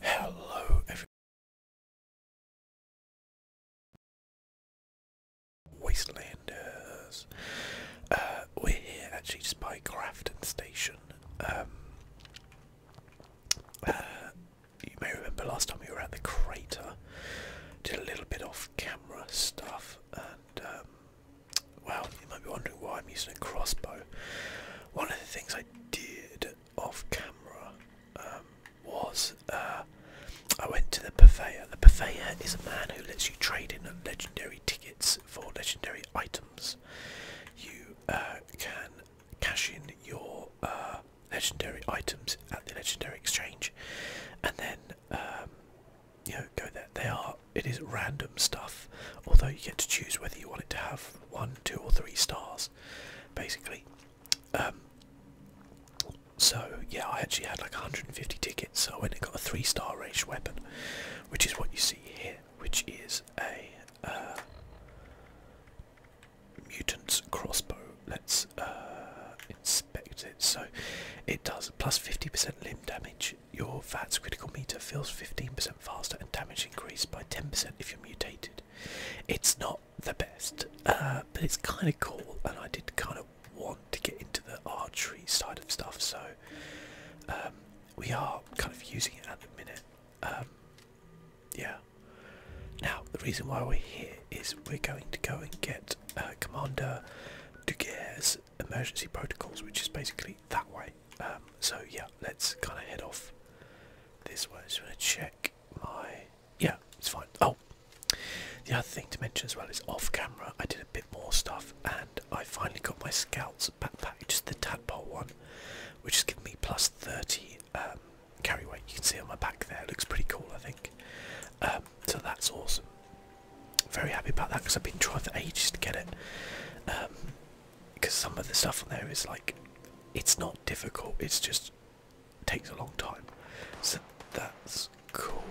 Hello, everyone. Wastelanders. Uh, we're here actually just by Grafton Station. Um, uh, you may remember last time we were at the crater, did a little bit off camera stuff, and um, well, you might be wondering why I'm using a crossbow. One of the things I did off camera um, was uh, I went to the purveyor. The purveyor is a man who lets you trade in legendary tickets for legendary items. You uh, can cash in your uh, legendary items at the legendary exchange, and then um, you know go there. They are it is random stuff, although you get to choose whether you want it to have one, two, or three stars basically. Um, so yeah, I actually had like 150 tickets, so I went and got a three-star ranged weapon, which is what you see here, which is a uh, mutant's crossbow. Let's uh, inspect it. So it does plus 50% limb damage. Your VAT's critical meter fills 15% faster, and damage increased by 10% if you're mutated. It's not the best, uh, but it's kind of cool, and I did kind of want to get into the archery side of stuff, so um, we are kind of using it at the minute. Um, yeah. Now, the reason why we're here is we're going to go and get uh, Commander Duguerre's emergency protocols, which is basically that way. Um, so yeah, let's kind of head off this way. I just want to check my. Yeah, it's fine. Oh, the other thing to mention as well is off camera, I did a bit more stuff and I finally got my scouts backpack, just the tadpole one, which has given me plus 30 um, carry weight. You can see on my back there, looks pretty cool, I think. Um, so that's awesome. Very happy about that because I've been trying for ages to get it. Um, because some of the stuff on there is like it's not difficult it's just takes a long time so that's cool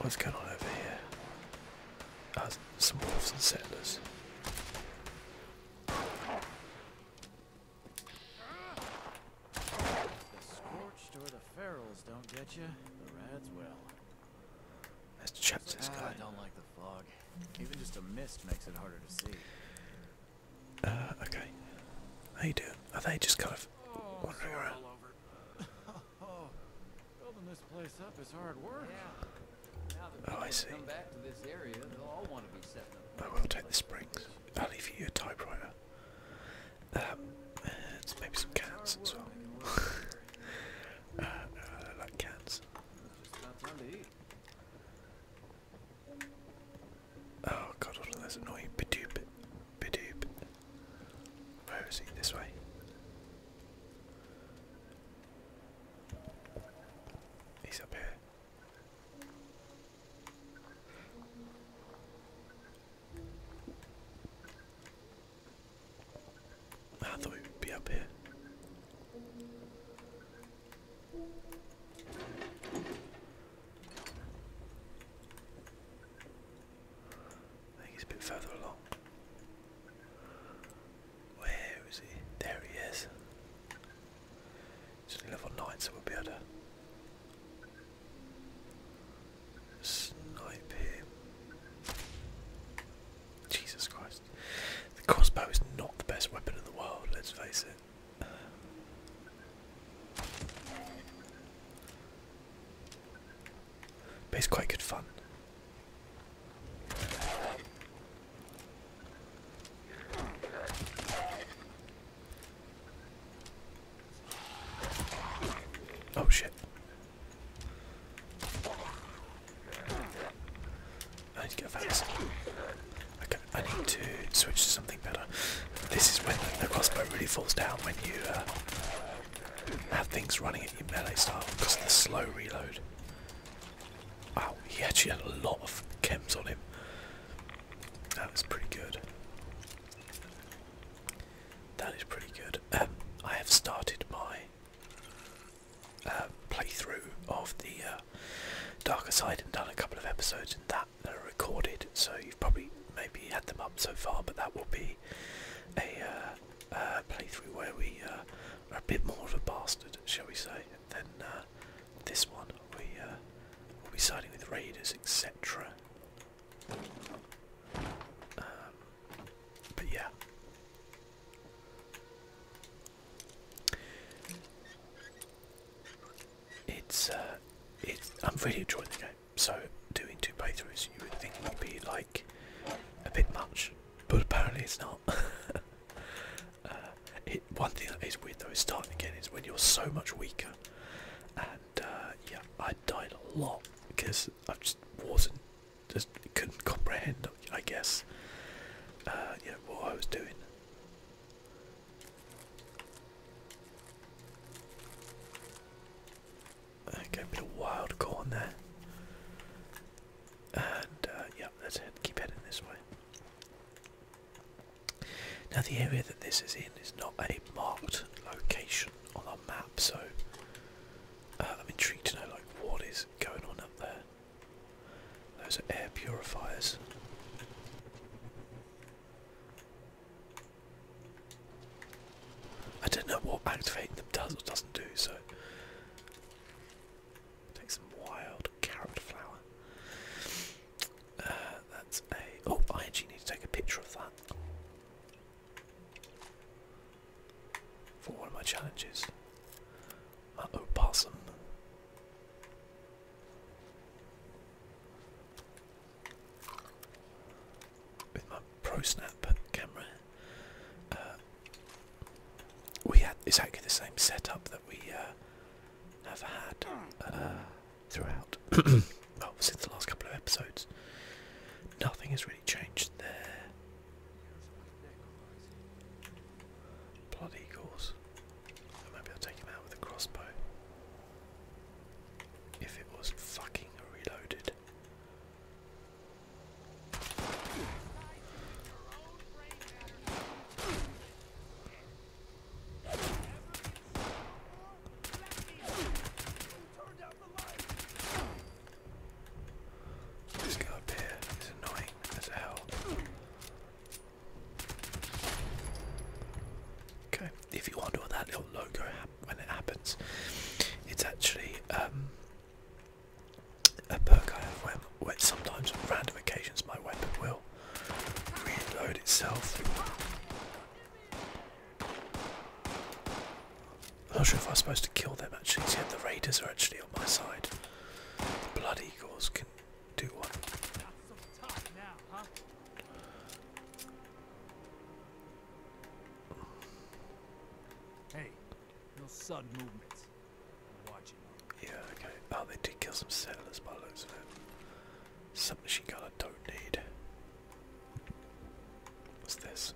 what's going on over here uh, some wolves and settlers the scorched or the ferals don't get you the rads will Let's check this ah, I don't like the fog. Even just a mist makes it harder to see. Uh, okay. How you doing? Are they just kind of oh, wandering around? oh, building this place up is hard work. Oh, I see. Come back to this area, they'll all want to be setting up. I will take the springs. I'll leave you a typewriter. Um, maybe some cans as well. Uh, uh, I like cans. Oh god, all of those annoying bidoop, bidoop. Where is he? This way. He's up here. I thought he would be up here. I think he's a bit further along. Where is he? There he is. It's only level 9, so we'll be able to snipe him. Jesus Christ. The crossbow is not the best weapon in the world, let's face it. but it's quite good fun. Oh shit. I need to go fast. Okay, I need to switch to something better. This is when the crossbow really falls down when you uh, have things running at your melee style because of the slow reload. Wow, he actually had a lot of chems on him. That was pretty good. That is pretty good. Um, I have started by. Uh, playthrough of the uh, Darker Side and done a couple of episodes in that that are recorded. So you've probably maybe had them up so far, but that will be a uh, playthrough where we are a bit more of a bastard, shall we say, than this one. We uh, will be siding with raiders, etc. Um, but yeah, it's uh, I'm really enjoying the game. So doing two playthroughs, you would think would be like a bit much, but apparently it's not. Uh, one thing that is weird though is starting again is when you're so much weaker, and uh, yeah, I died a lot because I just wasn't just couldn't comprehend I guess. Uh, what I was doing. Okay, bit of wild corn there. And uh, yeah, let's keep heading this way. Now the area that this is in is not a marked location on our map, so uh, I'm intrigued to know like what is going on up there. Those are air purifiers. I don't know what activating them does or doesn't do, so take some wild carrot flower. Uh, that's a. Oh, I actually need to take a picture of that for one of my challenges. Uh With my pro camera, uh, we had exactly the same setup that we uh, have had uh, throughout. well, since the last couple of episodes, nothing has really changed there. Blood eagles. I will take him out with a crossbow. If it was fucking reloaded. This guy up here is annoying as hell. Okay, if you wonder what that little logo when it happens, it's actually um, a perk I have when, sometimes on random occasions my weapon will reload itself. I'm not sure if I am supposed to kill them actually, see the raiders are actually on my side. The blood eagles can Hey, no sudden movements. watching Yeah, okay. Oh, they did kill some settlers by looks of it. Submachine gun I don't need. What's this?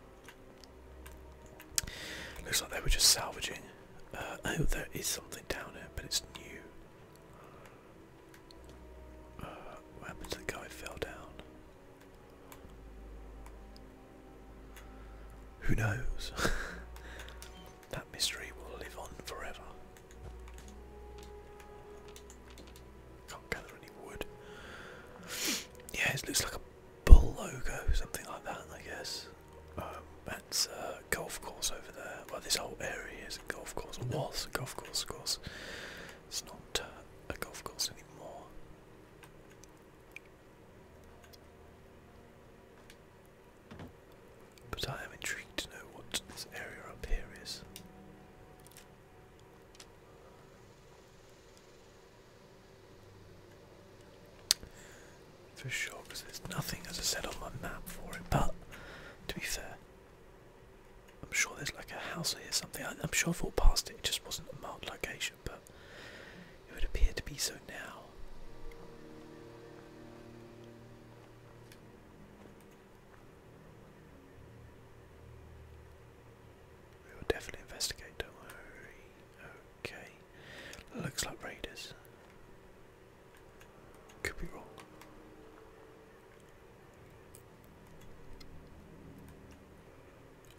Looks like they were just salvaging. Uh, oh, there is something down here, but it's new. Uh, what happened to the guy who fell down? Who knows? that mystery will live on forever. Can't gather any wood. Yeah, it looks like a bull logo, something like that, I guess that's um, a uh, golf course over there. Well, this whole area is a golf course, or was a golf course, of course. It's not uh, a golf course anymore. But I am intrigued to know what this area up here is for sure because there's nothing, as I said, on my map for it. But to be fair, I'm sure there's like a house or something. I, I'm sure I've walked past it. It just wasn't a marked location, but it would appear to be so now. We will definitely investigate, don't worry. Okay. Looks like raiders. Could be wrong.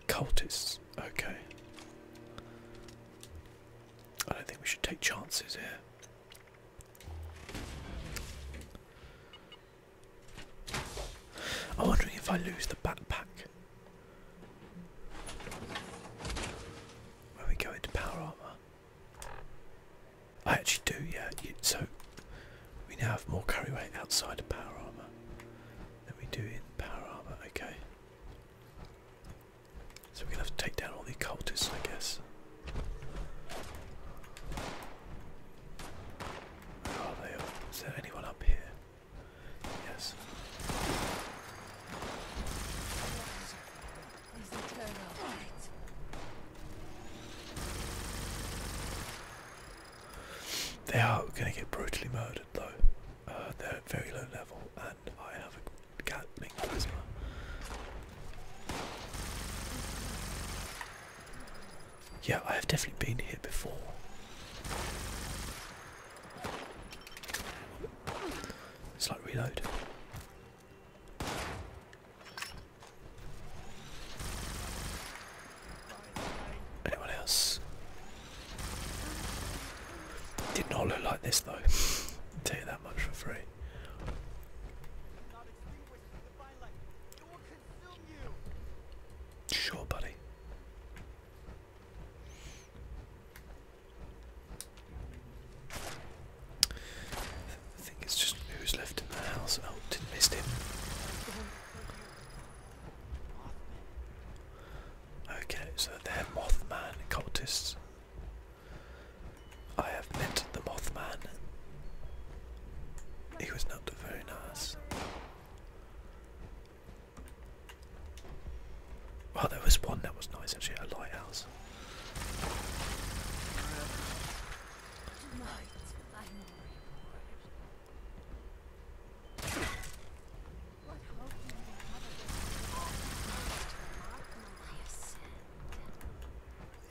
Cultists, okay. I don't think we should take chances here. I'm wondering if I lose the backpack. When we go into power armor. I actually do, yeah. so we now have more carry weight outside of power armor than we do in power armor. Okay. So we're gonna have to take down all the cultists, I guess. Where are they? Is there anyone up here? Yes. They are going to get brutally murdered though. Uh, they're very low level, and I have a Gatling plasma. Yeah, I have definitely been here before. It's like reload. Anyone else? Did not look like this though. Tell you that much for free. Sure, buddy. I think it's just who's left in the house. Oh, didn't miss him. Okay, so they're Mothman cultists. I have met the Mothman. He was not very nice. Well, there was one that was nice actually, a lighthouse.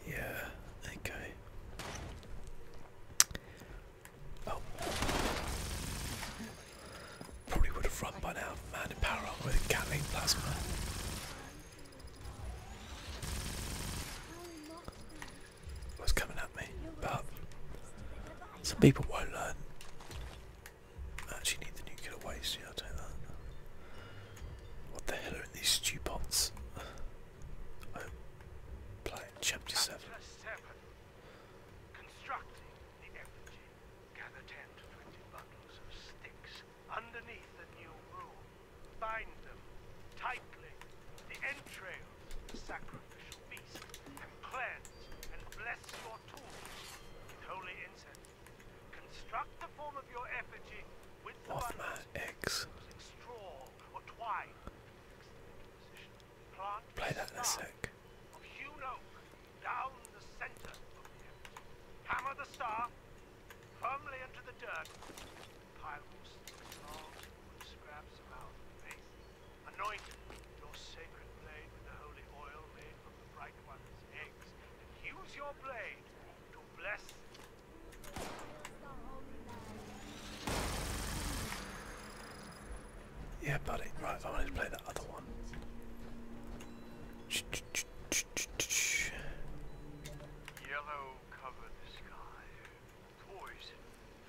Yeah, okay. Oh. Probably would have run by now, man power armor with Gatling plasma. What's coming at me? But some people won't learn. I actually need the nuclear waste, yeah, take that. What the hell are these stew pots? Oh, play chapter seven underneath the new rule. Bind them tightly, the entrails, the sacrificial beast, and cleanse and bless your tools with holy incense. Construct the form of your effigy with the bundles, using straw or twine. Play that in a sec into the dirt. Pyros, logs, wood scraps around the face. Anoint your sacred blade with the holy oil made from the bright one's eggs. And use your blade to bless yeah, buddy. Right, I wanted to play that other one. Yellow covered the sky. Poison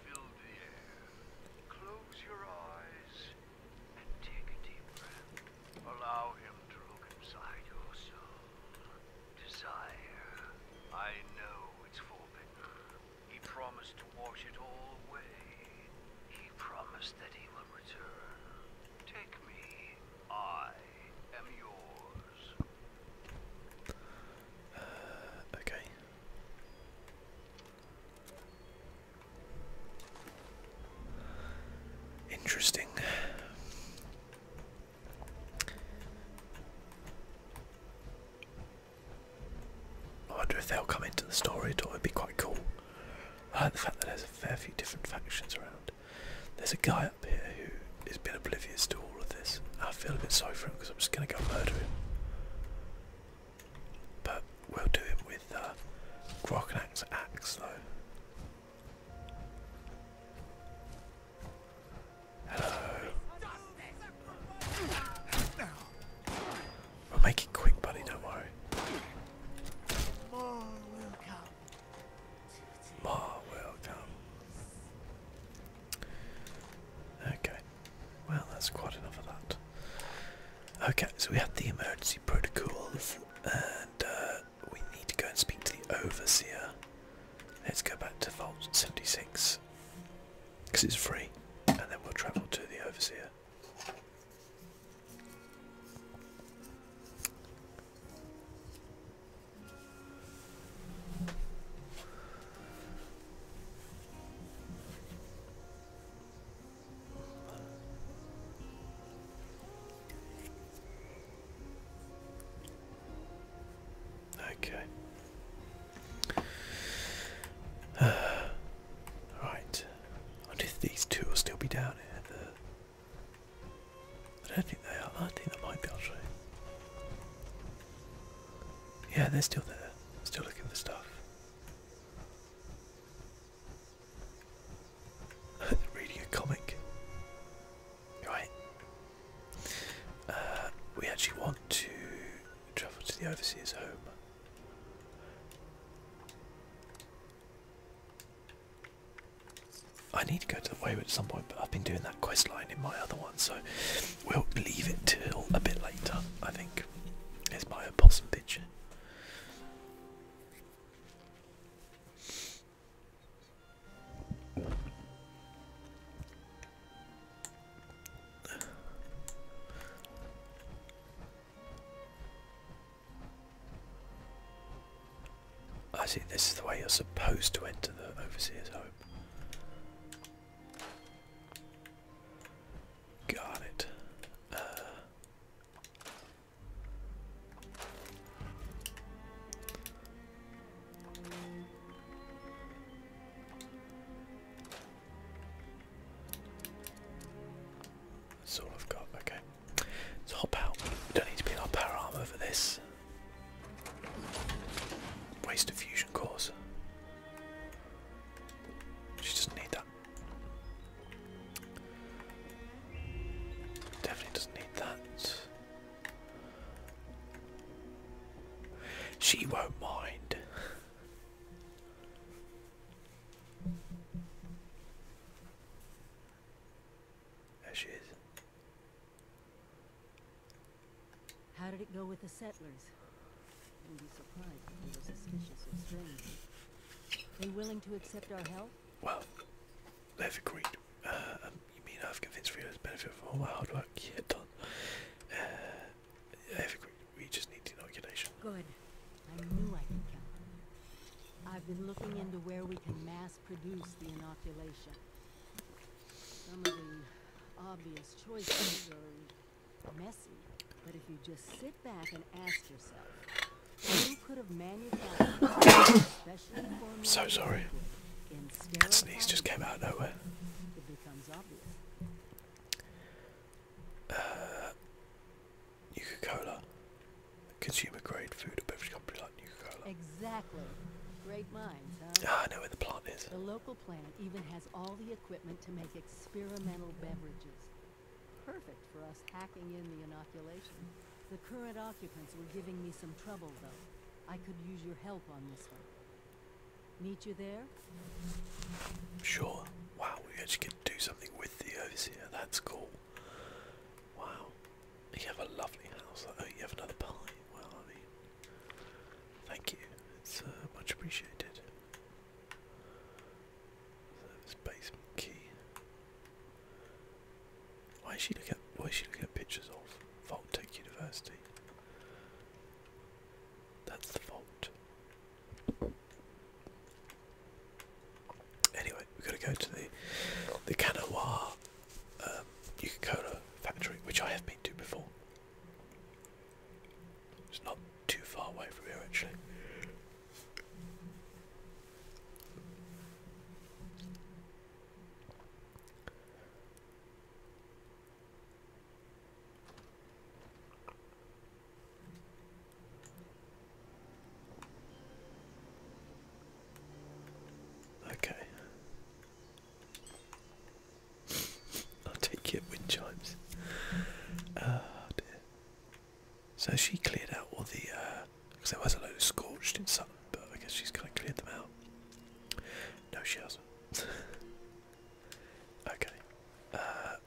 filled the air. Close your eyes and take a deep breath. Allow him to look inside your soul. Desire. I know it's forbidden. He promised to wash it all away. He promised that he will return. Take me I am yours. Uh, okay. Interesting. I wonder if they'll come into the story. It would be quite cool. I like the fact that there's a fair few different factions around. There's a guy up here who has been oblivious to all of this. I feel a bit sorry for him because I'm just going to go murder him. But we'll do it with uh, Groknak's axe though. Hello. We'll make it quick, buddy, don't worry. More Okay. Well, that's quite enough of that. Okay, so we have the emergency protocols, and uh, we need to go and speak to the overseer. Let's go back to Vault 76, because it's free, and then we'll travel to the overseer. Okay. right. I wonder if these two will still be down here. I don't think they are. I think they might be actually. Yeah, they're still there. Still looking for stuff. Reading a comic. Right. Uh, we actually want to travel to the overseer's home. I need to go to the way at some point, but I've been doing that quest line in my other one, so we'll leave it till a bit later, I think. Here's my opossum picture. I see this is the way you're supposed to enter the overseer's home. Got it. Uh, that's got, okay. Let's hop out. We don't need to be in our power armor for this. Waste of fusion cores. She doesn't need that. Definitely doesn't need that. She won't mind. There she is. How did it go with the settlers? You'll be surprised if they were suspicious or strange. They willing to accept our help? Well, they've agreed. Uh, um, you mean I've convinced Rio to benefit from all my hard work? Yeah, done. Uh, have agreed. We just need the inoculation. Good. I knew I could count I've been looking into where we can mass produce the inoculation. Some of the obvious choices are messy, but if you just sit back and ask yourself, I'm so sorry. That sneeze just came out of nowhere. It becomes obvious. Coca-Cola, uh, consumer grade food and beverage company like Exactly. Great minds, Ah, I know where the plant is. The local plant even has all the equipment to make experimental beverages. Perfect for us hacking in the inoculation. The current occupants were giving me some trouble, though. I could use your help on this one. Meet you there? Sure. Wow, we actually get to do something with the overseer. That's cool. Wow. You have a lovely house. Oh, you have another pie. Well, I mean, thank you. It's uh, much appreciated. basement key. Why is she looking at why is she looking at pictures of Vault Tech University? That's the vault. Anyway, we've got to go to the the Kanawha um, factory, which I have been to before. It's not too far away from here actually. Okay. I'll take it, wind chimes. Ah, so she cleared out all the, because uh, there was a lot of scorched in something, but I guess she's kind of cleared them out. No, she hasn't. okay. Uh,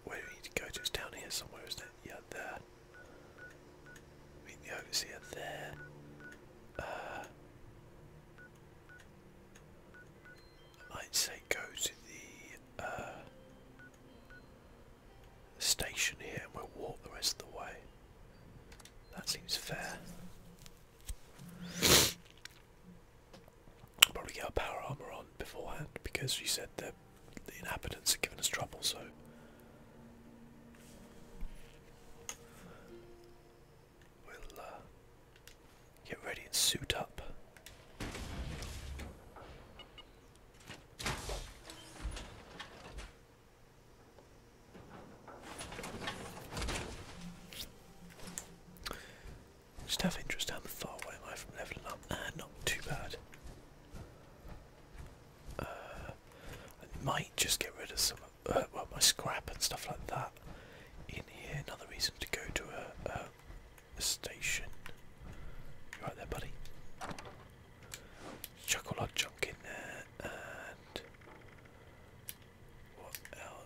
where do we need to go to? It's down here somewhere, is that? it? Yeah, there. Meet see it there. Uh, I'd say go to the uh, station here and we'll walk the rest of the way. That seems fair. probably get our power armor on beforehand because you said that the inhabitants are giving us trouble, so. We'll uh, get ready and suit up. Just have interest how far away am I from leveling up? Ah, not too bad. Uh, might just get rid of some uh, well, my scrap and stuff like that in here. Another reason to go to a, station. right there, buddy. Chuck all our junk in there, and what else?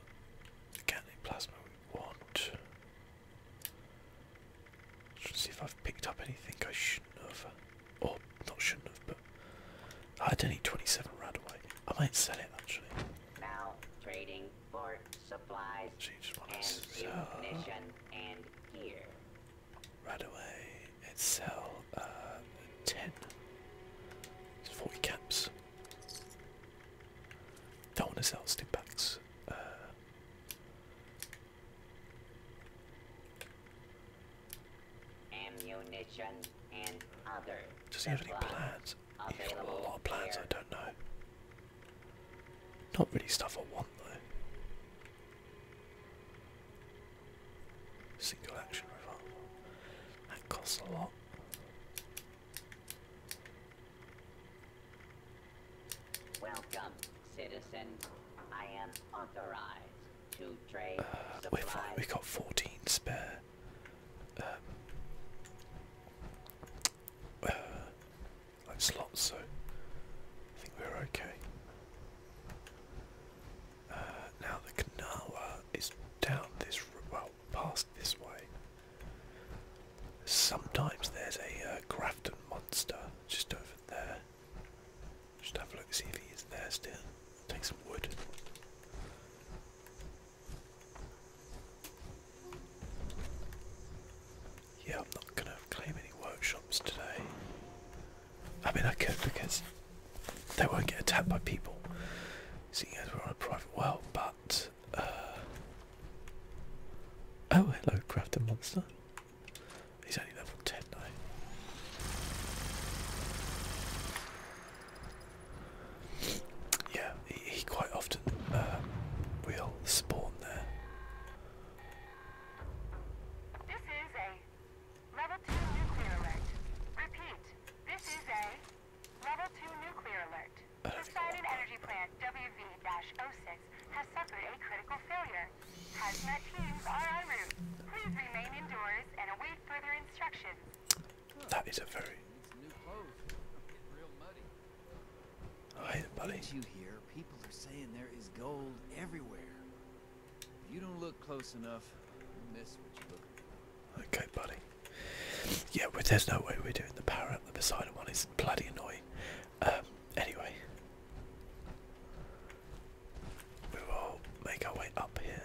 The candy plasma we want. Let's see if I've picked up anything I shouldn't have, or not shouldn't have, I don't need 27 right away. I might sell it actually. Now trading for supplies and sell. and gear. Right away, sell uh, caps. Don't want to sell stick uh. Does he have any plans? You've got a lot of plans, I don't know. Not really stuff I want though. Single action revolver. That costs a lot. Welcome, citizens. I am authorized to trade. Uh, we've, we've got 14 spare um, uh, like so I think we're okay. Uh, now the Kanawa is down this, well, past this way. Sometimes there's a uh, Grafton monster just over there. Just have a look, see if he's there still. Take some wood. Yeah, I'm not going to claim any workshops today. I mean, I could because they won't get attacked by people, seeing as we're on a private well, but. Uh, oh, hello, Crafted Monster. He's only level 10 though. Yeah, he, quite often um, will spawn there. This is a level two nuclear alert. Repeat, this is a level two nuclear alert. Poseidon Energy Plant WV-06 has suffered a critical failure. Hazmat teams are en route. Please remain indoors and await further instructions. That is a very. Hi, buddy. You hear? People Okay, buddy. Yeah, well, there's no way we're doing the power the Poseidon one. It's bloody annoying. Um, anyway, we will make our way up here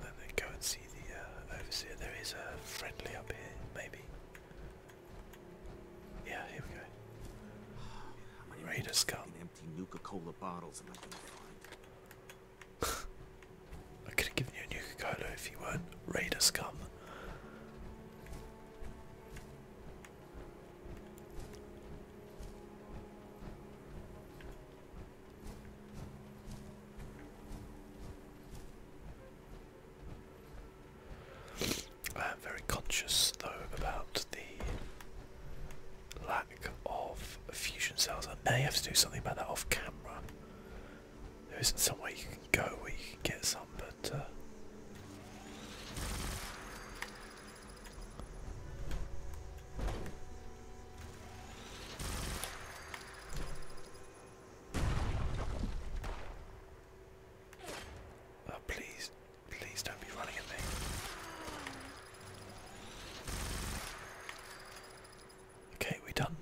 and then go and see the uh, overseer. There is a friendly up here, maybe. Yeah, here we go. Raider scum. Empty Nuka-Cola bottles, I can find. I could have given you a Nuka-Cola if you weren't Raider scum. I am very conscious though about the lack of fusion cells. I may have to do something about that off camera. There isn't somewhere you can go where you can get some, but. Uh, Oh, please, please don't be running at me. Okay, we're done.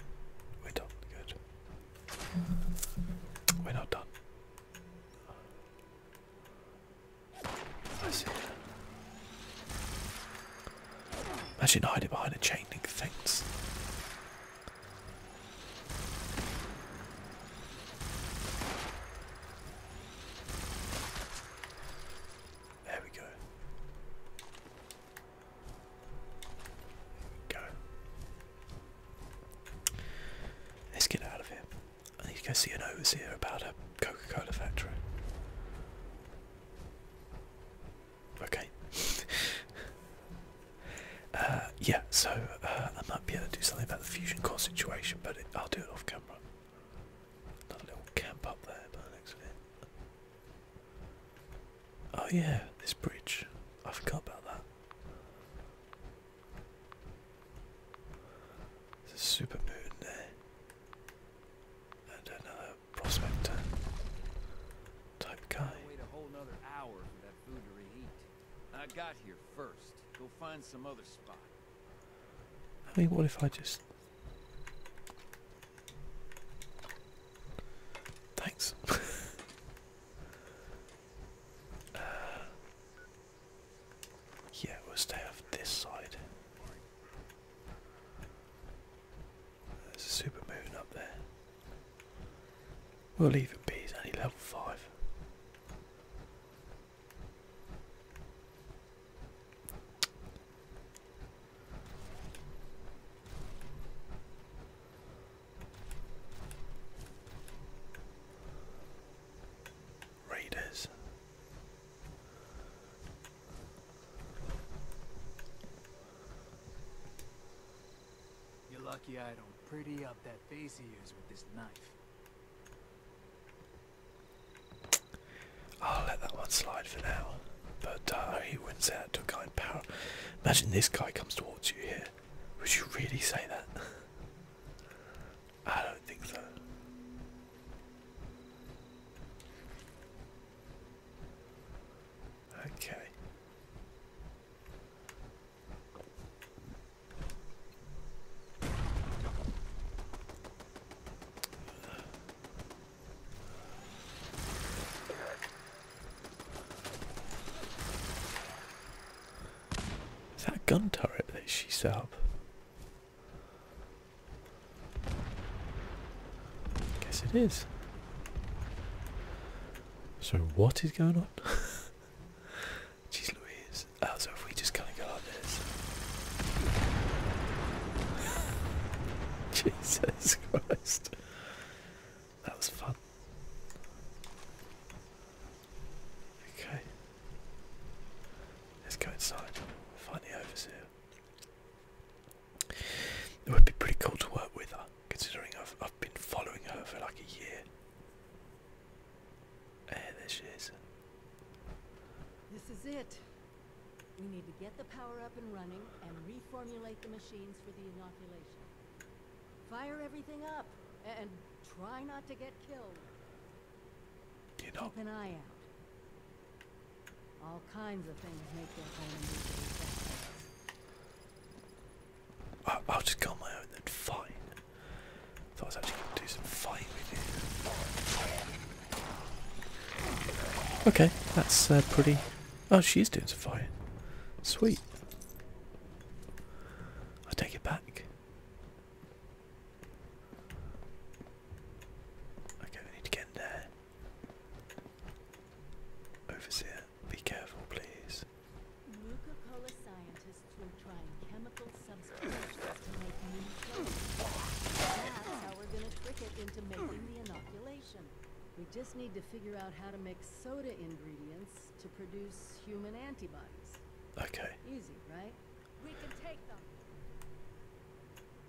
We're done. Good. We're not done. I see. Imagine hiding behind a chain link fence. There we go. Go. Let's get out of here. I need to go see an overseer about a Coca-Cola factory. Okay. Uh, yeah, so uh, I might be able to do something about the fusion core situation, but I'll do it off camera. Another little camp up there by the Oh yeah, this bridge. I forgot about that. There's a super moon there. And another prospector type guy. I got here first. Go find some other spot. I mean, what if I just. Thanks. Uh, yeah, we'll stay off this side. There's a super moon up there. We'll leave it be, it's only level 5. Raiders. You're lucky I don't pretty up that face of yours with this knife. I'll let that one slide for now. But uh, he wins out, say that to a guy in power. Imagine this guy comes towards you here. Would you really say that? I don't think so. Okay. Is that gun turret that she set up? Guess it is. So what is going on? Jeez Louise. Oh, so if we just kind of go like this. Jesus Christ. That was fun. Okay. Let's go inside. Find the overseer. It would be pretty cool to work with her, considering I've, I've been following her for like a year. there she is. This is it. We need to get the power up and running and reformulate the machines for the inoculation. Fire everything up and try not to get killed. You Keep an eye out. All kinds of things make their home I'll just go on my own then, fine. Thought I was actually going to do some fighting with Okay, that's uh, pretty... Oh, she's doing some fighting. Sweet. I'll take it back. Okay, we need to get in there. Overseer, be careful, please. Nuka Cola scientists were trying chemical substitutions to make new That's how we're gonna trick it into making the inoculation. We just need to figure out how to make soda ingredients to produce human antibodies. Okay. Easy, right? We can take them.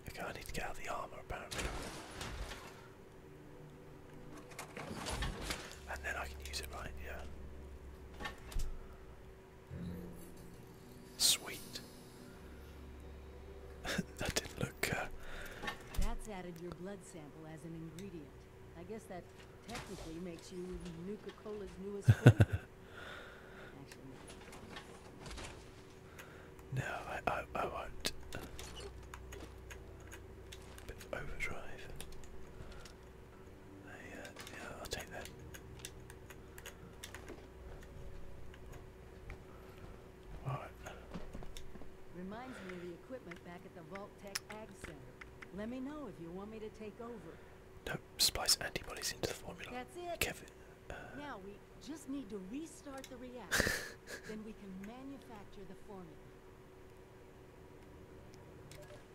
Okay, I need to get out of the armour apparently. And then I can use it, right? Yeah. Sweet. that didn't look. Uh, That's added your blood sample as an ingredient. I guess that technically makes you Nuka Cola's newest flavor. No, I, I, I won't. Bit overdrive. I, yeah, I'll take that. All right. Reminds me of the equipment back at the Vault Tech Ag Center. Let me know if you want me to take over. No, splice antibodies into the formula. Kevin. Uh, just need to restart the reactor. then we can manufacture the formula.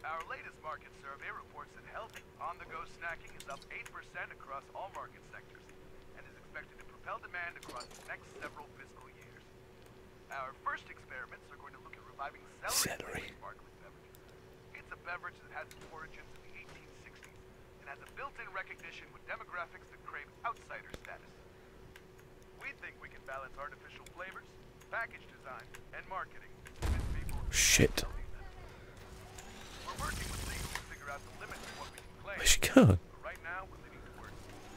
Our latest market survey reports that healthy, on-the-go snacking is up 8% across all market sectors and is expected to propel demand across the next several fiscal years. Our first experiments are going to look at reviving celery, It's a beverage that has its origins in the and has a built-in recognition with demographics that crave outsider status. We think we can balance artificial flavors, package design, and marketing. Shit. Where's she going? Right now, we're leaning towards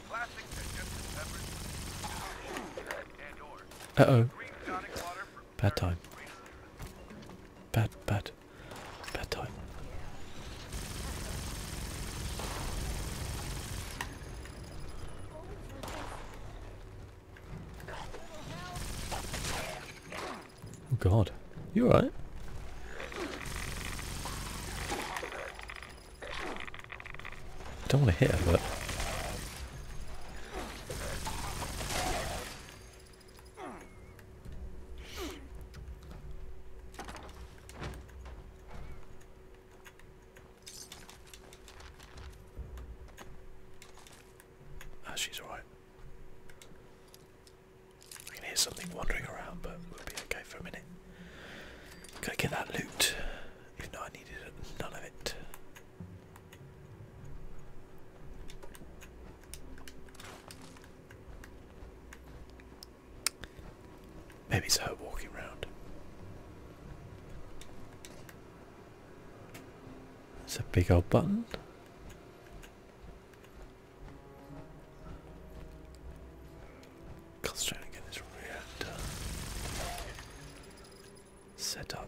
classic digestive peppers, and or uh oh. Bad time. Bad, bad, bad time. Oh god. You right? I don't want to hit her, but... Ah, she's alright. I can hear something wandering around, but we'll be okay for a minute. Go get that loot. If not, I needed none of it. Maybe it's her walking around. It's a big old button. God's trying to get this reactor set up.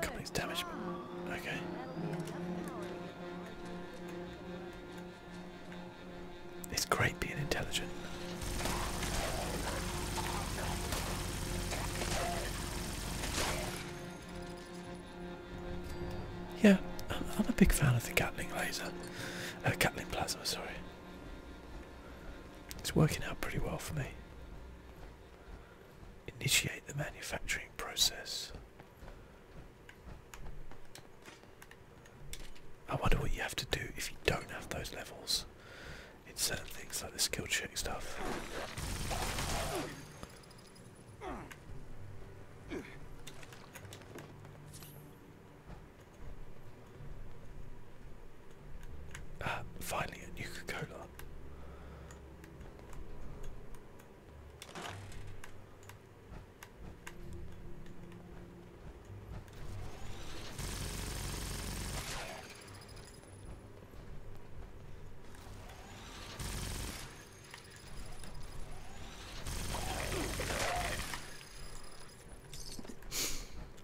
Coupling's damaged. Okay. It's great being intelligent. Yeah, I'm, a big fan of the Gatling laser. Uh, Gatling plasma, sorry. It's working out pretty well for me. Initiate the manufacturing process. I wonder what you have to do if you don't have those levels in certain things like the skill check stuff. Uh, finally, a new Coca Cola.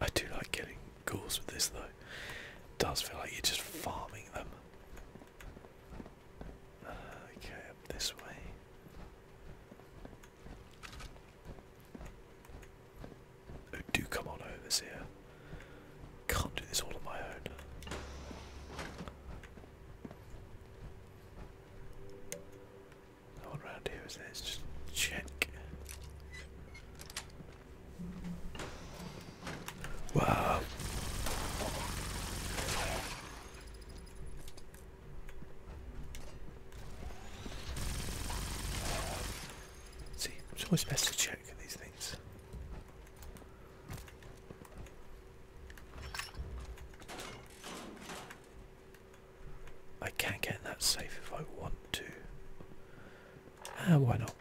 I do like killing goals with this though. does feel like you're just farming them. Uh, okay, up this way. Oh, do come on over here. Can't do this all on my own. No one here, is there? check. Wow. See, it's always best to check these things. I can get that safe if I want to. Ah, why not?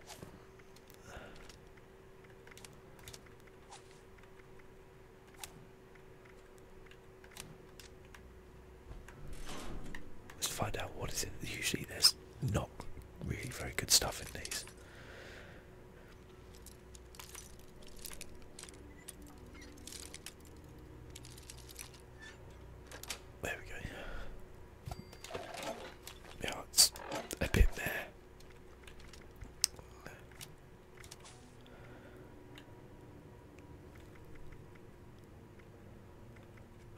Let's find out what is it. Usually there's not really very good stuff in these. There we go. Yeah, it's a bit there.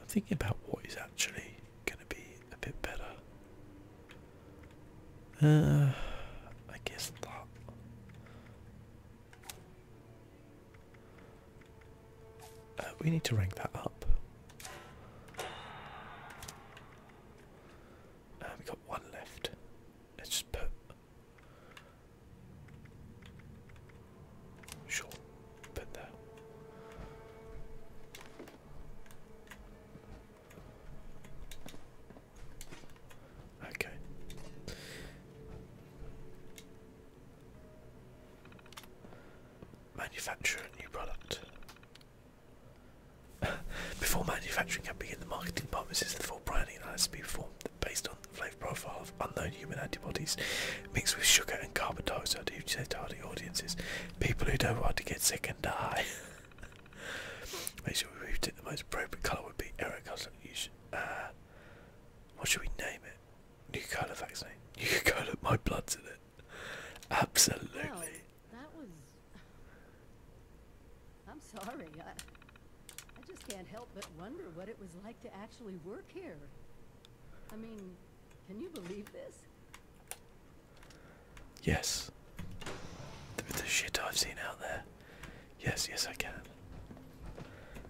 I'm thinking about what is actually going to be a bit better. Uh, I guess that. Uh, we need to rank that up. Uh, we got one left. Let's just put. Sure, put that. Okay. Manufacture a new product. Before manufacturing can begin, the marketing department uses the full branding that has to be performed based on the flavour profile of unknown human antibodies mixed with sugar and carbon dioxide to target audiences. People who don't want to get sick and die. Make sure we pick the most appropriate colour would be error colour. Uh, what should we name it? New color vaccine. New color. my blood's in it. Absolutely. Wow, that was. I'm sorry. I, just can't help but wonder what it was like to actually work here. I mean, can you believe this? Yes. the shit I've seen out there. Yes, yes, I can.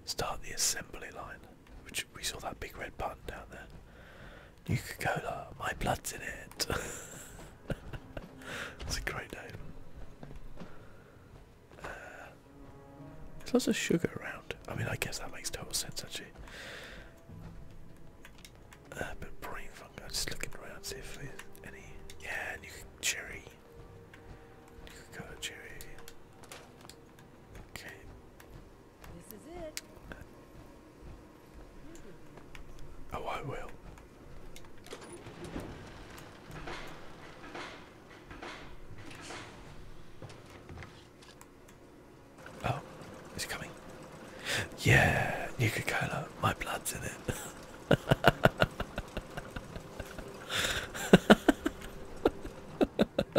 Start the assembly line, which we saw that big red button down there. Nuka Cola, my blood's in it. It's a great day. Uh, there's lots of sugar around. I mean, I guess that makes total sense actually. Uh, but brain funk. I'm just looking around see if any. Yeah, Nuka Cherry. Nuka Cola Cherry. Okay. This is it. Oh, I will. Oh, it's coming. Yeah, Nuka Cola, my blood's in it.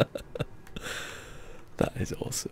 that is awesome.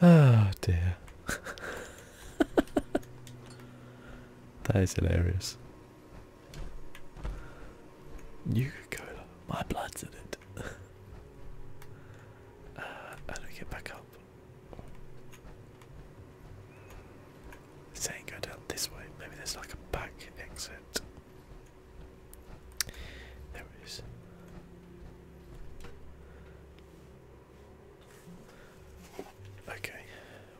Oh dear. that is hilarious. Nuka Cola, my blood's in it. uh, get back up? This go down this way. Maybe there's like a back exit. There it is. Okay,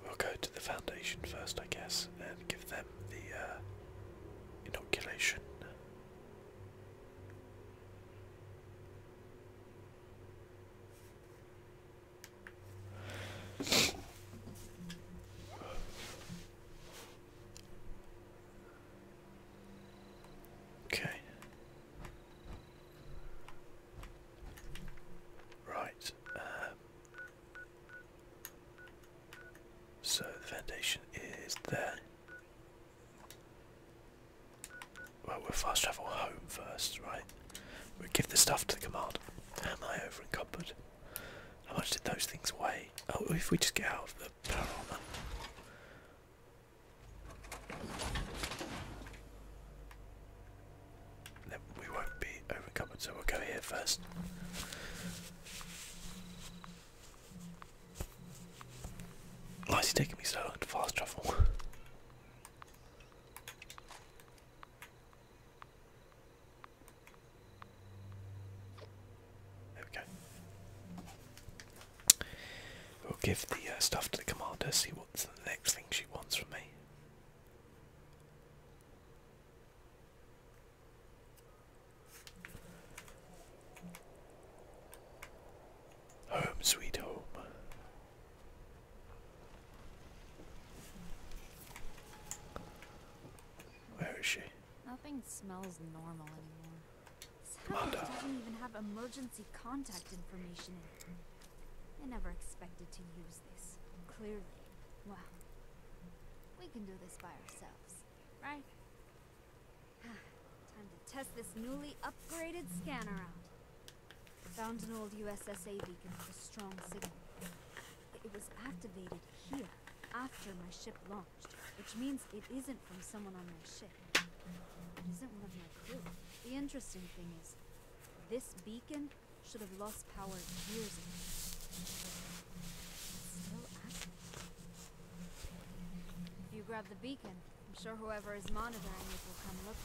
we'll go to the foundation first, I guess, and give them the uh, inoculation. Okay. Right. Um, so the foundation is there. Well, we'll fast travel home first, right? we give the stuff to the command. Am I over How much did those things weigh? Oh, if we just get out of the paranormal. Then we won't be overcovered, we'll go here first. Why is he taking me so long to fast travel? There we go. We'll give the uh, stuff to the commander, see what's the next thing she wants from me. Home sweet home. Where is she? Nothing smells normal anymore. Savage doesn't even have emergency contact information I never expected to use this. Clearly. Wow. We can do this by ourselves, right? Time to test this newly upgraded scanner out. Found an old USSA beacon with a strong signal. It was activated here after my ship launched, which means it isn't from someone on my ship ship. It isn't one of my crew. The interesting thing is, this beacon should have lost power years ago. It's still active. If you grab the beacon, I'm sure whoever is monitoring it will come look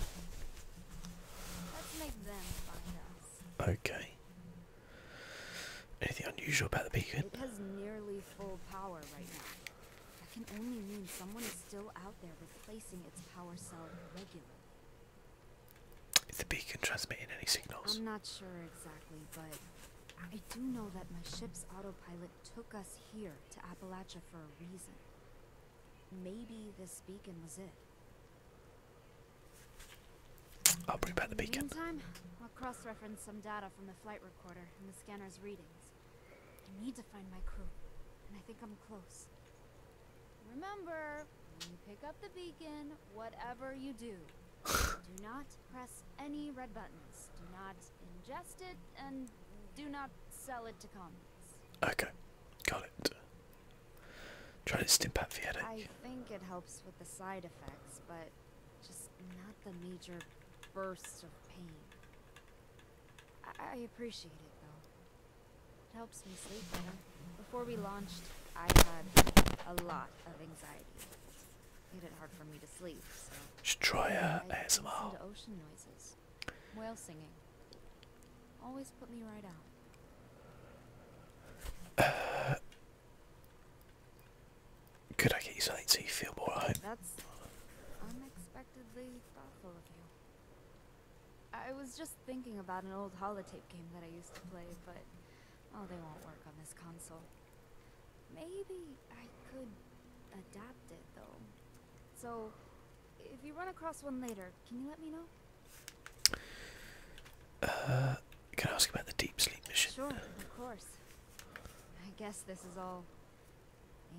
Let's make them find us. Okay. Anything unusual about the beacon? It has nearly full power right now. That can only mean someone is still out there replacing its power cell the beacon transmitting any signals? I'm not sure exactly, but I do know that my ship's autopilot took us here to Appalachia for a reason. Maybe this beacon was it. I'll bring back the beacon. In the meantime, I'll cross-reference some data from the flight recorder and the scanner's readings. I need to find my crew, and I think I'm close. Remember, when you pick up the beacon, whatever you do, do not press any red buttons. Do not ingest it, and do not sell it to commies. Okay, got it. Try to stim pat for headache. I think it helps with the side effects, but just not the major bursts of pain. I appreciate it, though. It helps me sleep better. Before we launched, I had a lot of anxiety. Made it hard for me to sleep, so... Should try uh, ASMR. to ocean noises. Whale singing. Always put me right out. could I get you something so you feel more at home? That's unexpectedly thoughtful of you. I was just thinking about an old holotape game that I used to play, but... Oh, they won't work on this console. Maybe I could adapt it, though. So, if you run across one later, can you let me know? Uh, can I ask about the deep sleep mission? Sure, of course. I guess this is all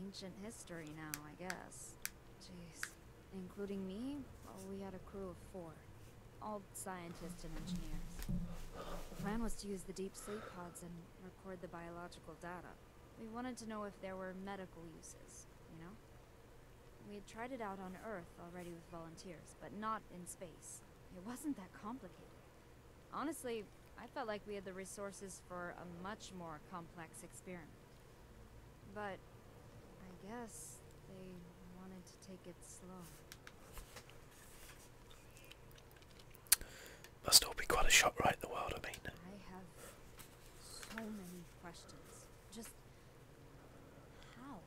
ancient history now, I guess. Jeez. Including me, we had a crew of four. All scientists and engineers. The plan was to use the deep sleep pods and record the biological data. We wanted to know if there were medical uses, you know? We had tried it out on Earth already with volunteers, but not in space. It wasn't that complicated. Honestly, I felt like we had the resources for a much more complex experiment. But I guess they wanted to take it slow. Must all be quite a shock, right the world, I mean. I have so many questions. Just how?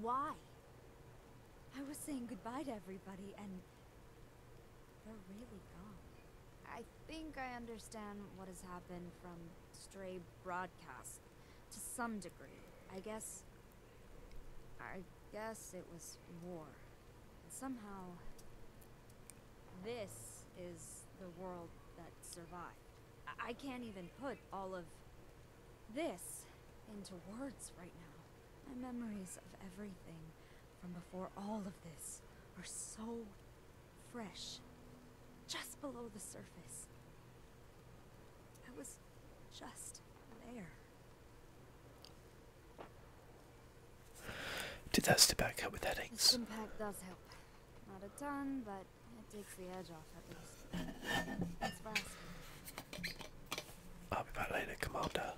Why? I was saying goodbye to everybody and they're really gone. I think I understand what has happened from stray broadcast to some degree. I guess. I guess it was war. And somehow. This is the world that survived. I, I can't even put all of this into words right now. My memories of everything from before all of this are so fresh, just below the surface. I was just there. Did that step back up with headaches? This impact does help. Not a ton, but it takes the edge off at least. I'll be back later, Commander.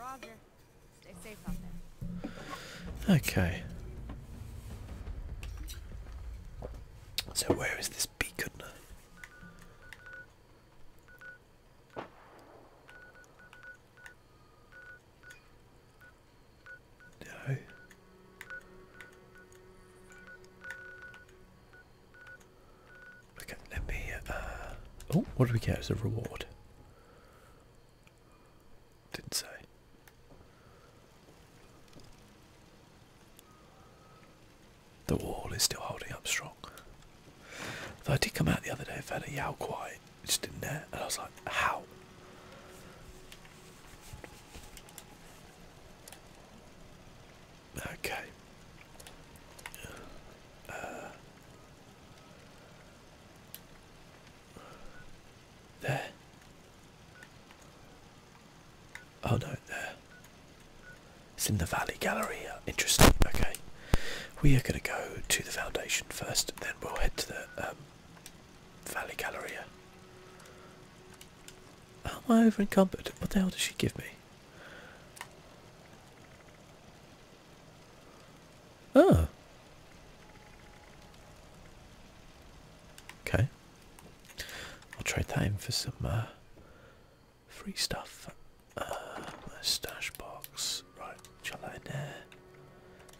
Roger. Stay safe out there. Okay. So where is this beacon? No. Okay, let me. Uh, oh, what do we get as a reward? Didn't say. The wall is still holding up strong. Though I did come out the other day and found a Yao Kwai just didn't there, and I was like, how? Okay. Uh, there. Oh no, there. It's in the Valley Gallery. Uh, interesting. Okay. We are going to go to the foundation first, then we'll head to the um, Valley Gallery. How uh, am I over encumbered? What the hell does she give me? Oh. Okay. I'll trade that in for some uh, free stuff. Uh, stash box. Right, chuck that in there.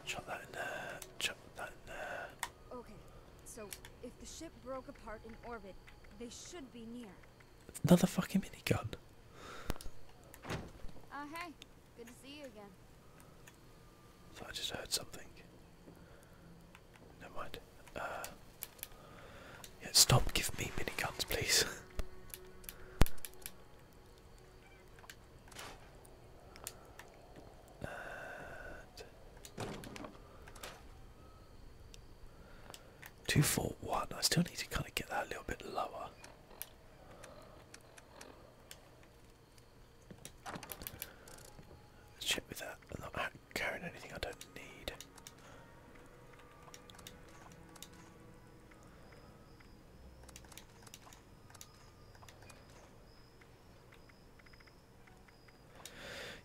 Chuck that in there. Chuck that in there. Okay, so if the ship broke apart in orbit, they should be near. Another fucking minigun. Ah, uh, hey. Good to see you again. I just heard something. Never mind. Uh, yeah, stop Give me miniguns, please. Two four one. I still need to kind of get that a little bit lower let check with that. I'm not carrying anything I don't need.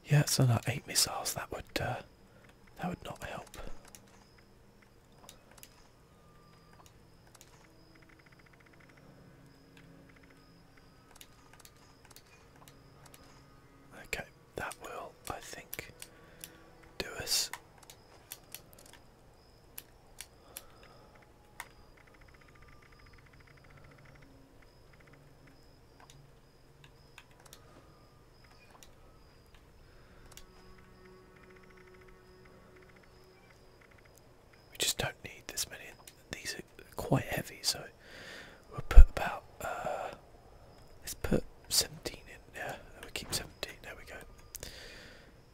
Yeah, so like eight missiles that would uh, that would not help. Okay, that will, I think, do us. We just don't need this many. These are quite heavy, so we'll put about uh, let's put 17 in there. We keep 17. There we go.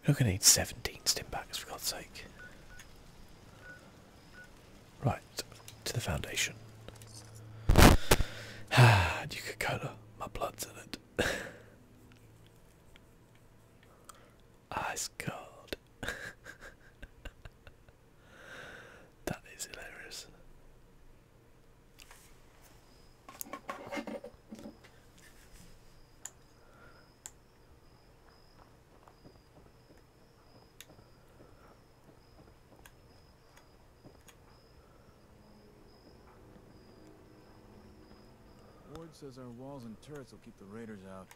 We're not gonna need 17 stimbacks for God's sake. Right to the foundation. Ah, Coca-Cola. My blood's in it. Ice cold. That is hilarious. Ward says our walls and turrets will keep the raiders out.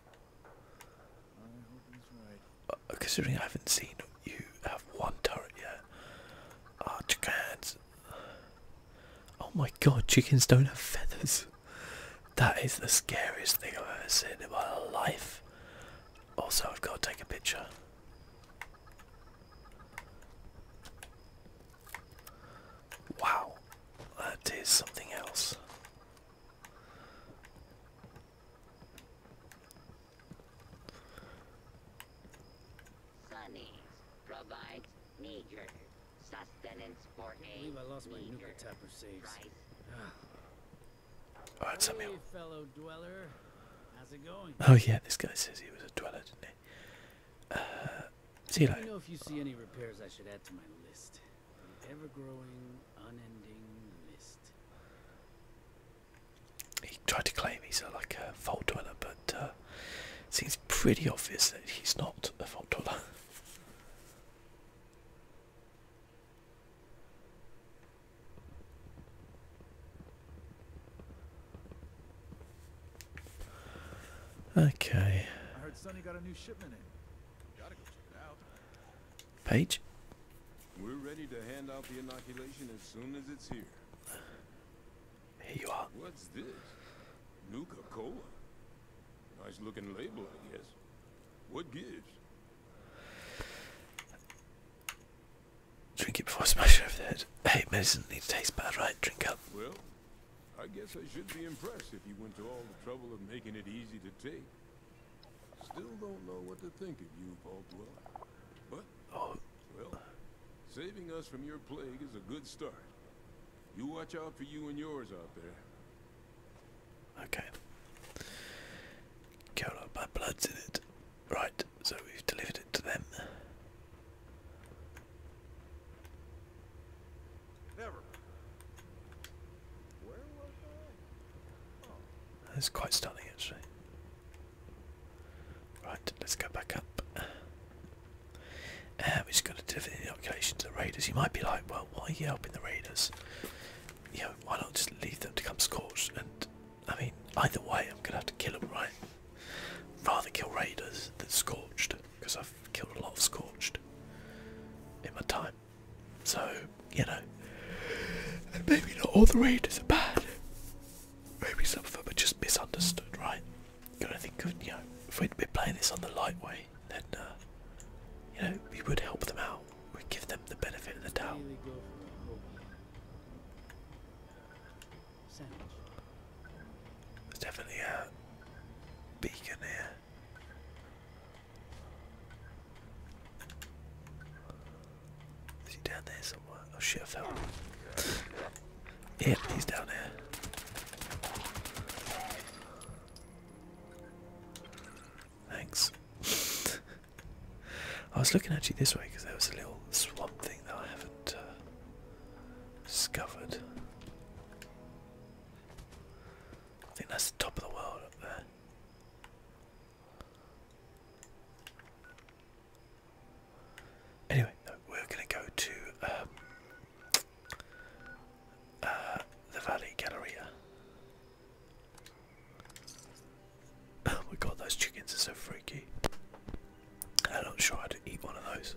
I hope he's right considering I haven't seen you have one turret yet. oh, chickens! Oh my god, chickens don't have feathers. That is the scariest thing I've ever seen in my life. Also, I've got to take a picture. Wow, that is something else. Sunny provides meager sustenance for me. believe I lost my nuka tapper saves. oh, ah. it's Samuel. Oh yeah, this guy says he was a dweller, didn't he? Uh, see you later. Let me know if you see any repairs I should add to my list. An ever-growing, unending mist. He tried to claim he's a, like a vault dweller, but uh, seems pretty obvious that he's not a vault dweller. Okay. I heard Sonny got a new shipment in. Page. We're ready to hand out the inoculation as soon as it's here. Here you are. What's this? Nuka Cola. Nice looking label, I guess. What gives? Drink it before I smash over the head. Hey, medicine needs to taste bad, right? Drink up. Well, I guess I should be impressed if you went to all the trouble of making it easy to take. Still don't know what to think of you, Vault Dweller. But, oh. well, saving us from your plague is a good start. You watch out for you and yours out there. Okay. Count up my blood's in it. Right, so we've delivered it to them. Never. Where was I? Oh. That's quite stunning actually. Right, let's go back up. Uh, we just got to deliver the inoculation to the raiders. You might be like, well, why are you helping the raiders? You know, why not just leave them to come scorched? And I mean, either way, I'm gonna have to kill them, right? Rather kill raiders than scorched, because I've killed a lot of scorched in my time. So, you know, maybe not all the readers are bad. Maybe some of them are just misunderstood, right? You got think of, you know, if we'd been playing this on the light way, then, uh, you know, we would help them out. We'd give them the benefit of the doubt. There's definitely a beacon here. Is he down there somewhere? Oh shit, I fell. yeah, he's down there. Thanks. I was looking at you this way because there was a little swamp thing that I haven't uh, discovered. I think that's the top of the world up there. Anyway, we're going to go to um, uh, the Valley Galleria. Oh my god, those chickens are so freaky. I'm not sure I'd eat one of those.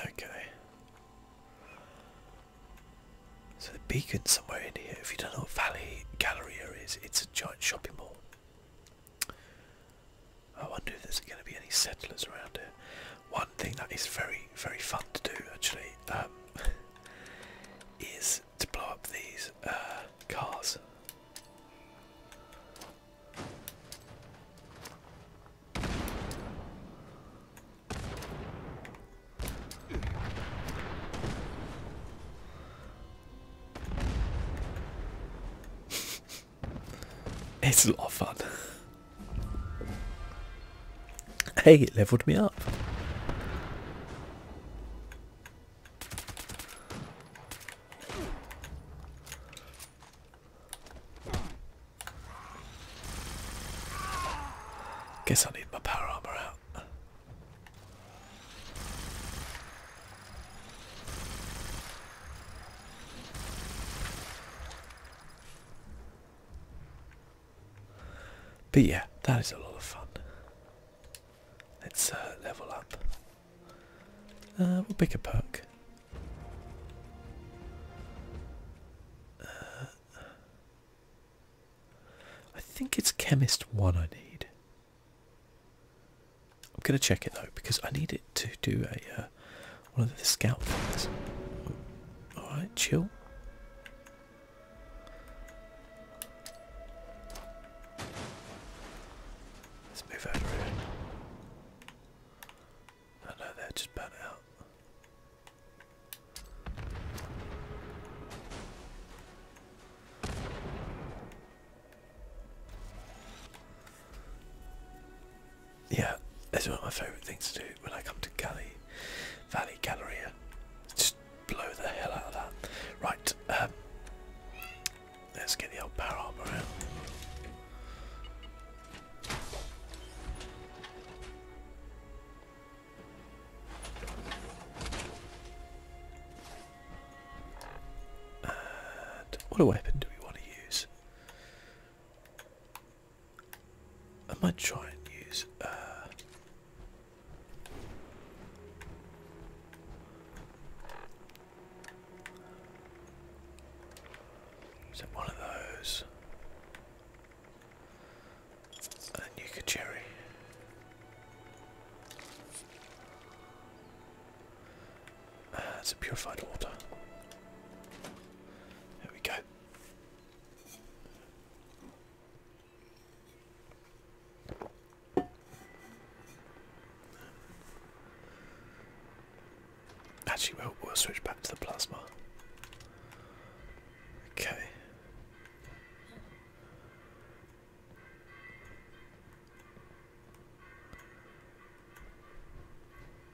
Okay. So the beacon's somewhere in here. If you don't know what Valley Galleria is, it's a giant shopping mall. I wonder if there's going to be any settlers around here. One thing that is very, very fun to do actually um, is to blow up these uh, cars. It's a lot of fun. Hey, it leveled me up. Guess I need my power armor out. But yeah, that is a lot of fun. Let's uh, level up. Uh, we'll pick a perk. Uh, I think it's Chemist 1 I need. I'm going to check it though because I need it to do a uh, one of the scout things. Alright, chill. Let's move over here. No, no, there, just burn out yeah, it's one of my favourite things to do when I come to Galley Valley Gallery. Just blow the hell out of that. Right, um, let's get the old power armor out. what a weapon do we want to use? I might try and use uh is it one of those? And then cherry. Uh, it's a purified water. There we go. Actually, we'll, we'll switch back to the plasma. Okay.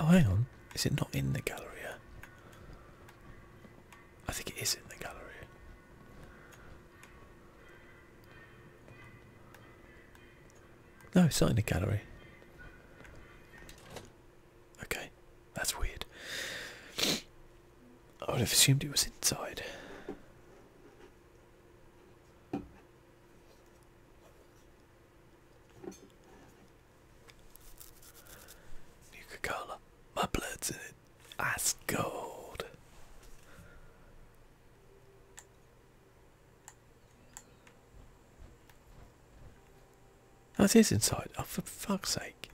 Oh, hang on. Is it not in the gallery? I think it is in the gallery. No, it's not in the gallery. Okay, that's weird. I would have assumed it was inside. Coca-Cola, my blood's in it. Ice gold. That oh, is inside. Oh, for fuck's sake.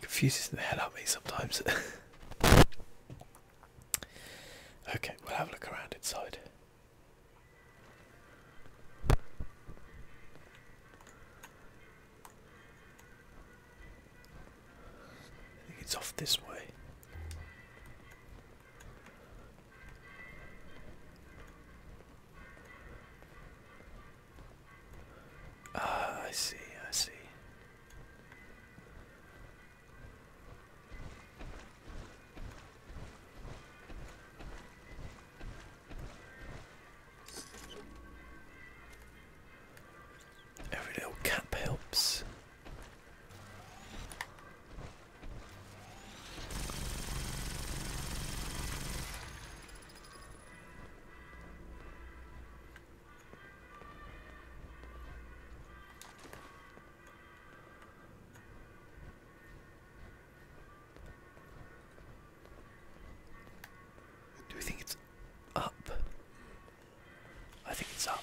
Confuses the hell out of me sometimes. okay, we'll have a look around inside. I think it's off this way. Ah, I see, I see. Every little cap helps. Do we think it's up? I think it's up.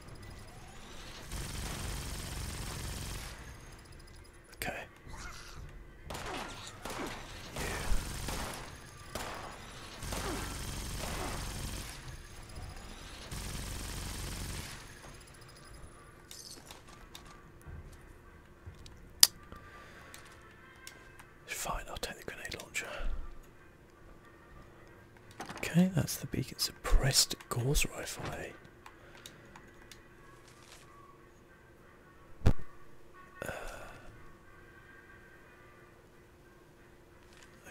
Okay. Yeah. Fine, I'll take the grenade launcher. Okay, that's the beacon. Suppressed Gauss rifle, eh? uh,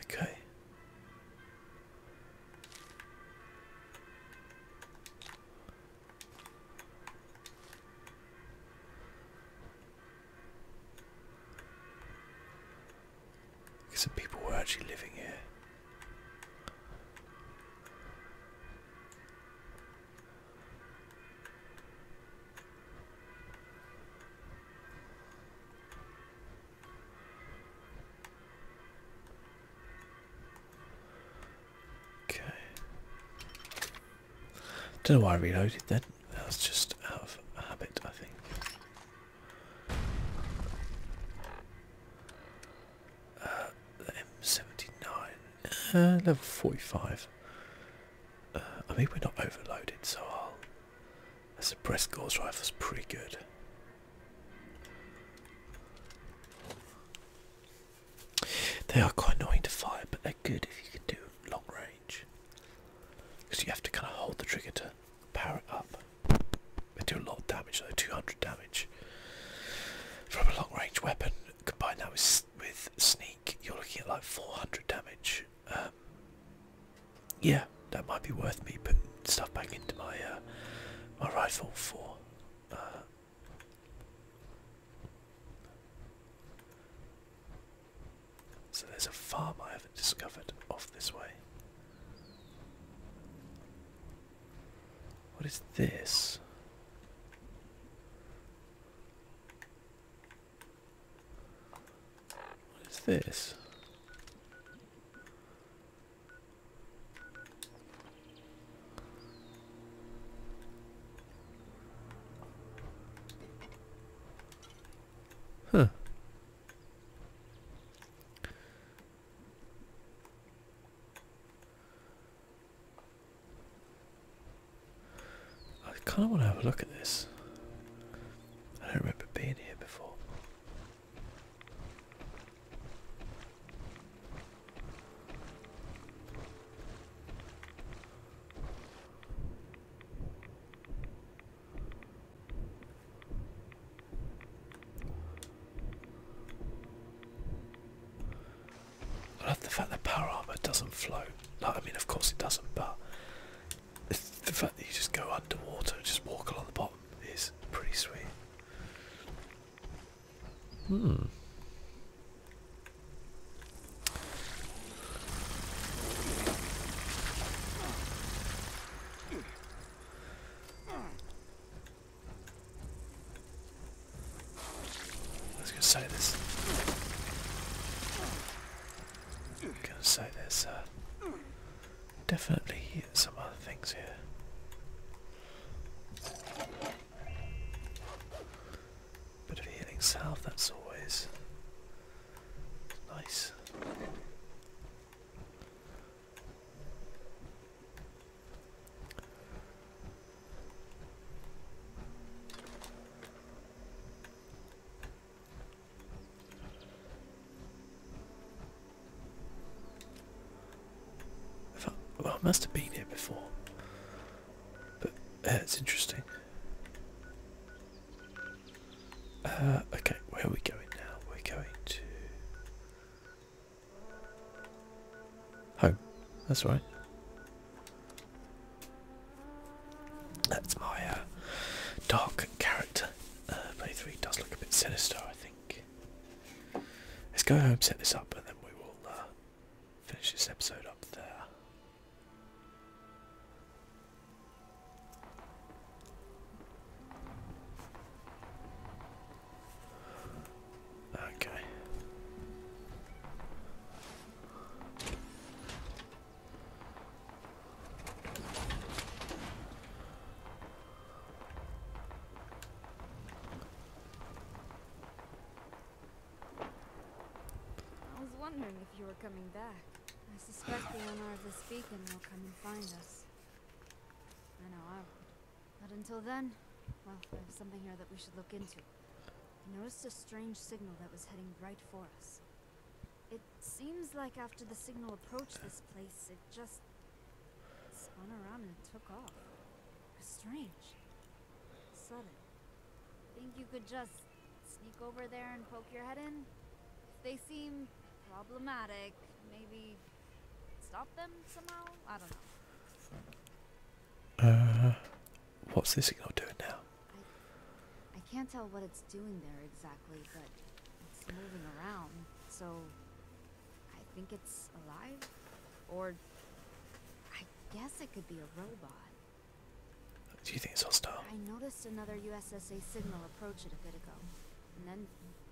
okay. Some people were actually living here. Okay. Don't know why I reloaded that. That was just out of habit, I think. Uh, the M79, uh, level 45. Uh, I mean, we're not overloaded, so I'll. The suppressed gauze rifle's pretty good. They are quite annoying to fire, but they're good if you can do long range. Because you have to kind of hold the trigger to power it up. They do a lot of damage though, 200 damage. From a long range weapon, Combined that with, with sneak, you're looking at like 400 damage. Um, yeah, that might be worth me putting stuff back into my uh, my rifle for. Uh, so there's a farm I discovered off this way. What is this? What is this? Huh. I kind of want to have a look at this. I don't remember being here before. I love the fact that power armor doesn't float. No, I mean, of course it doesn't, but the fact that you just go underwater and just walk along the bottom is pretty sweet. Hmm. Let's go say this. gonna say there's uh, definitely some other things here. Bit of healing salve, that's always nice. Oh, well, I must have been here before, but uh, it's interesting. Uh, okay, where are we going now? We're going to Home. That's right. That's my uh, dark character. Play uh, three does look a bit sinister, I think. Let's go home, set this up, and then we will uh, finish this episode up there. Okay. I was wondering if you were coming back. I suspect the owner of this beacon will come and find us. I know I would. But until then, well, I have something here that we should look into. I noticed a strange signal that was heading right for us. It seems like after the signal approached this place, it just spun around and took off. It was strange. Sudden. Think you could just sneak over there and poke your head in? If they seem problematic, maybe Stop them somehow? I don't know. Uh, what's this signal doing now? I, I can't tell what it's doing there exactly, but it's moving around, so I think it's alive? Or I guess it could be a robot. Do you think it's hostile? I noticed another USSA signal approach it a bit ago and then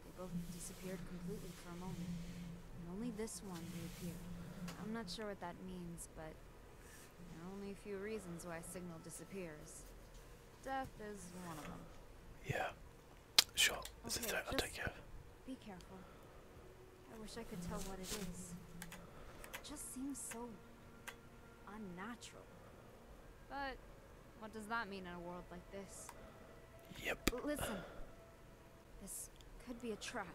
they both disappeared completely for a moment. And only this one reappeared. I'm not sure what that means, but there are only a few reasons why a signal disappears. Death is one of them. Yeah. Sure. okay, is that I'll take care of. Be careful. I wish I could tell what it is. It just seems so unnatural. But what does that mean in a world like this? Yep. Listen, this could be a trap.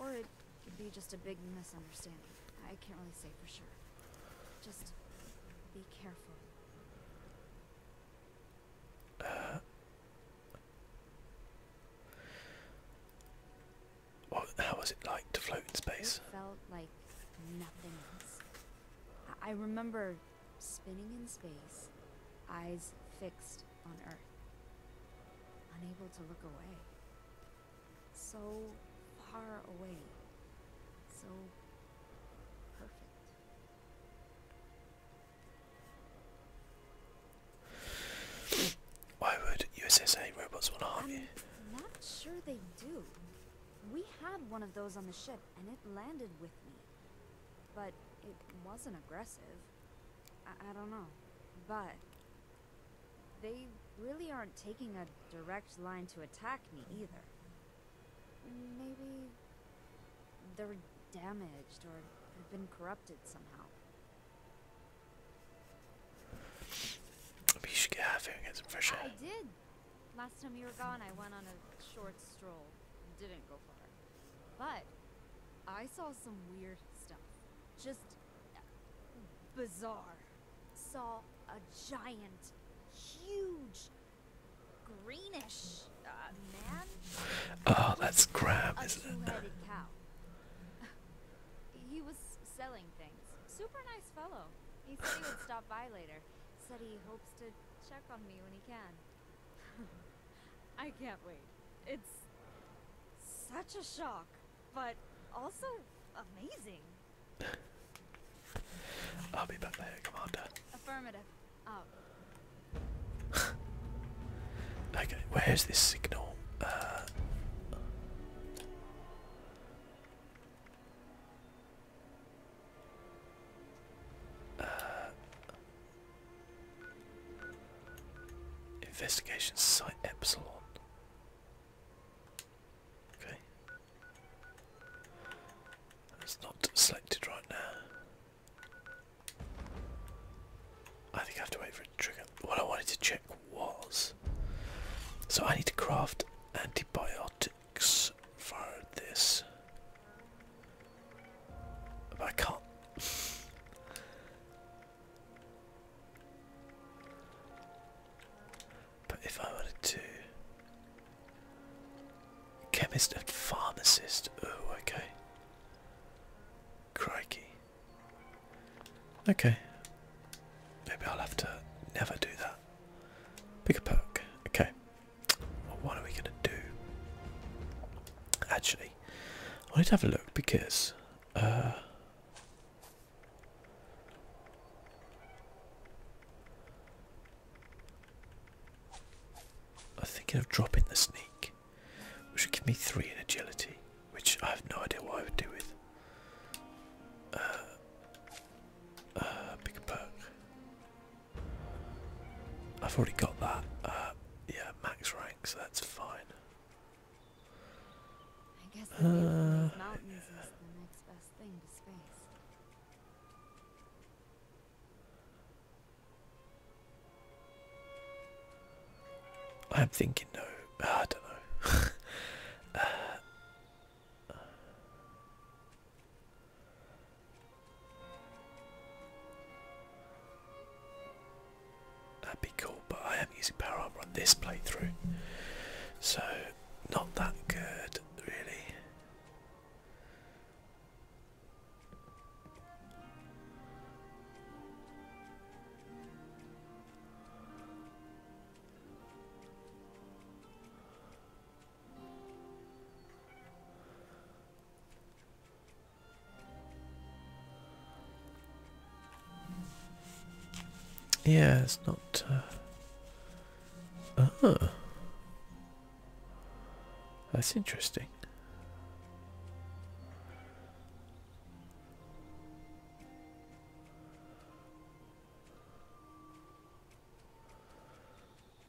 Or it could be just a big misunderstanding. I can't really say for sure. Just be careful. Uh, how was it like to float in space? It felt like nothing else. I remember spinning in space, eyes fixed on Earth, unable to look away. So far away, so perfect. Why would USSA robots want to harm I'm Not sure they do. We had one of those on the ship, and it landed with me. But it wasn't aggressive. I, don't know. But they really aren't taking a direct line to attack me either. Maybe they're damaged or have been corrupted somehow. Maybe you should get out of and get some fresh air. I did. Last time you were gone, I went on a short stroll. Didn't go far. But I saw some weird stuff. Just uh, bizarre. Saw a giant, huge, greenish uh, man. Oh, that's crap, isn't it? he was selling things. Super nice fellow. He said he would stop by later. Said he hopes to check on me when he can. I can't wait. It's such a shock, but also amazing. I'll be back later, Commander. Affirmative. Out. Oh. okay, where's this signal? Uh, uh, investigation site epsilon. Okay. That's not selected right now. I think I have to wait for a trigger. What I wanted to check was. So I need to craft antibiotics for this. But I can't. but if I wanted to. Chemist and pharmacist. Oh, okay. Crikey. Okay. Maybe I'll have to never do that. Pick a perk. Okay what are we going to do? Actually, I need to have a look because. Uh, I'm thinking of dropping the sneak, which would give me three in agility, which I have no idea what I would do with. pick uh, uh, a perk. I've already got that. Uh, yeah, max rank, so that's fine. I uh, am thinking no. Uh, I don't know. That'd be cool, but I am using power armor on this playthrough, so not that good, really. Yeah, it's not. Uh... uh That's interesting.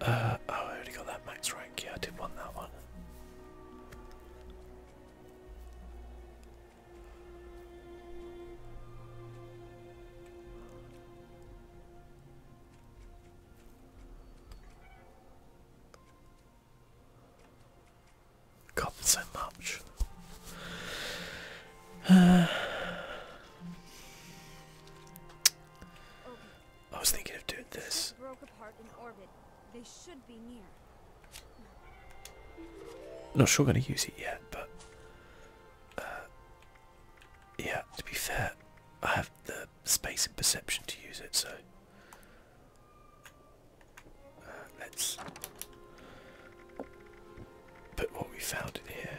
Uh, oh, I already got that max rank. Yeah, I did want that one. Got so much. Uh. I was thinking of doing this. Not sure I'm gonna use it yet, but uh, yeah. To be fair, I have the space and perception to use it, so uh, let's put what we found in here.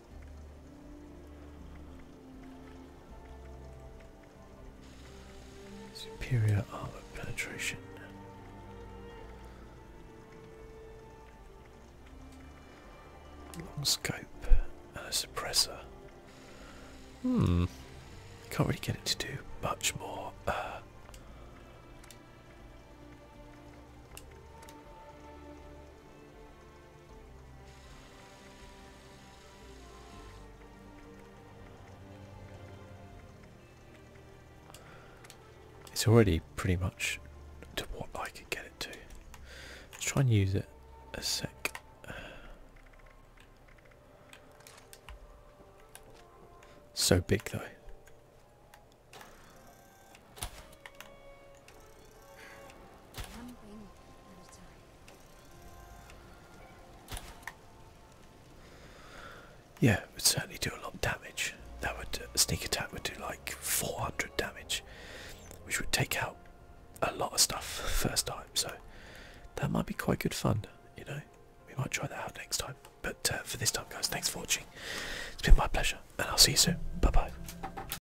Superior armor penetration. Long scope and a suppressor. Hmm. Can't really get it to do much more. Uh, it's already pretty much to what I could get it to. Let's try and use it a sec. So big though. Yeah, it would certainly do a lot of damage. That would sneak attack would do like 400 damage, which would take out a lot of stuff first time. So that might be quite good fun. You know, we might try that out next time. But uh, for this time, guys, thanks for watching. It's been my pleasure, and I'll see you soon. Bye bye.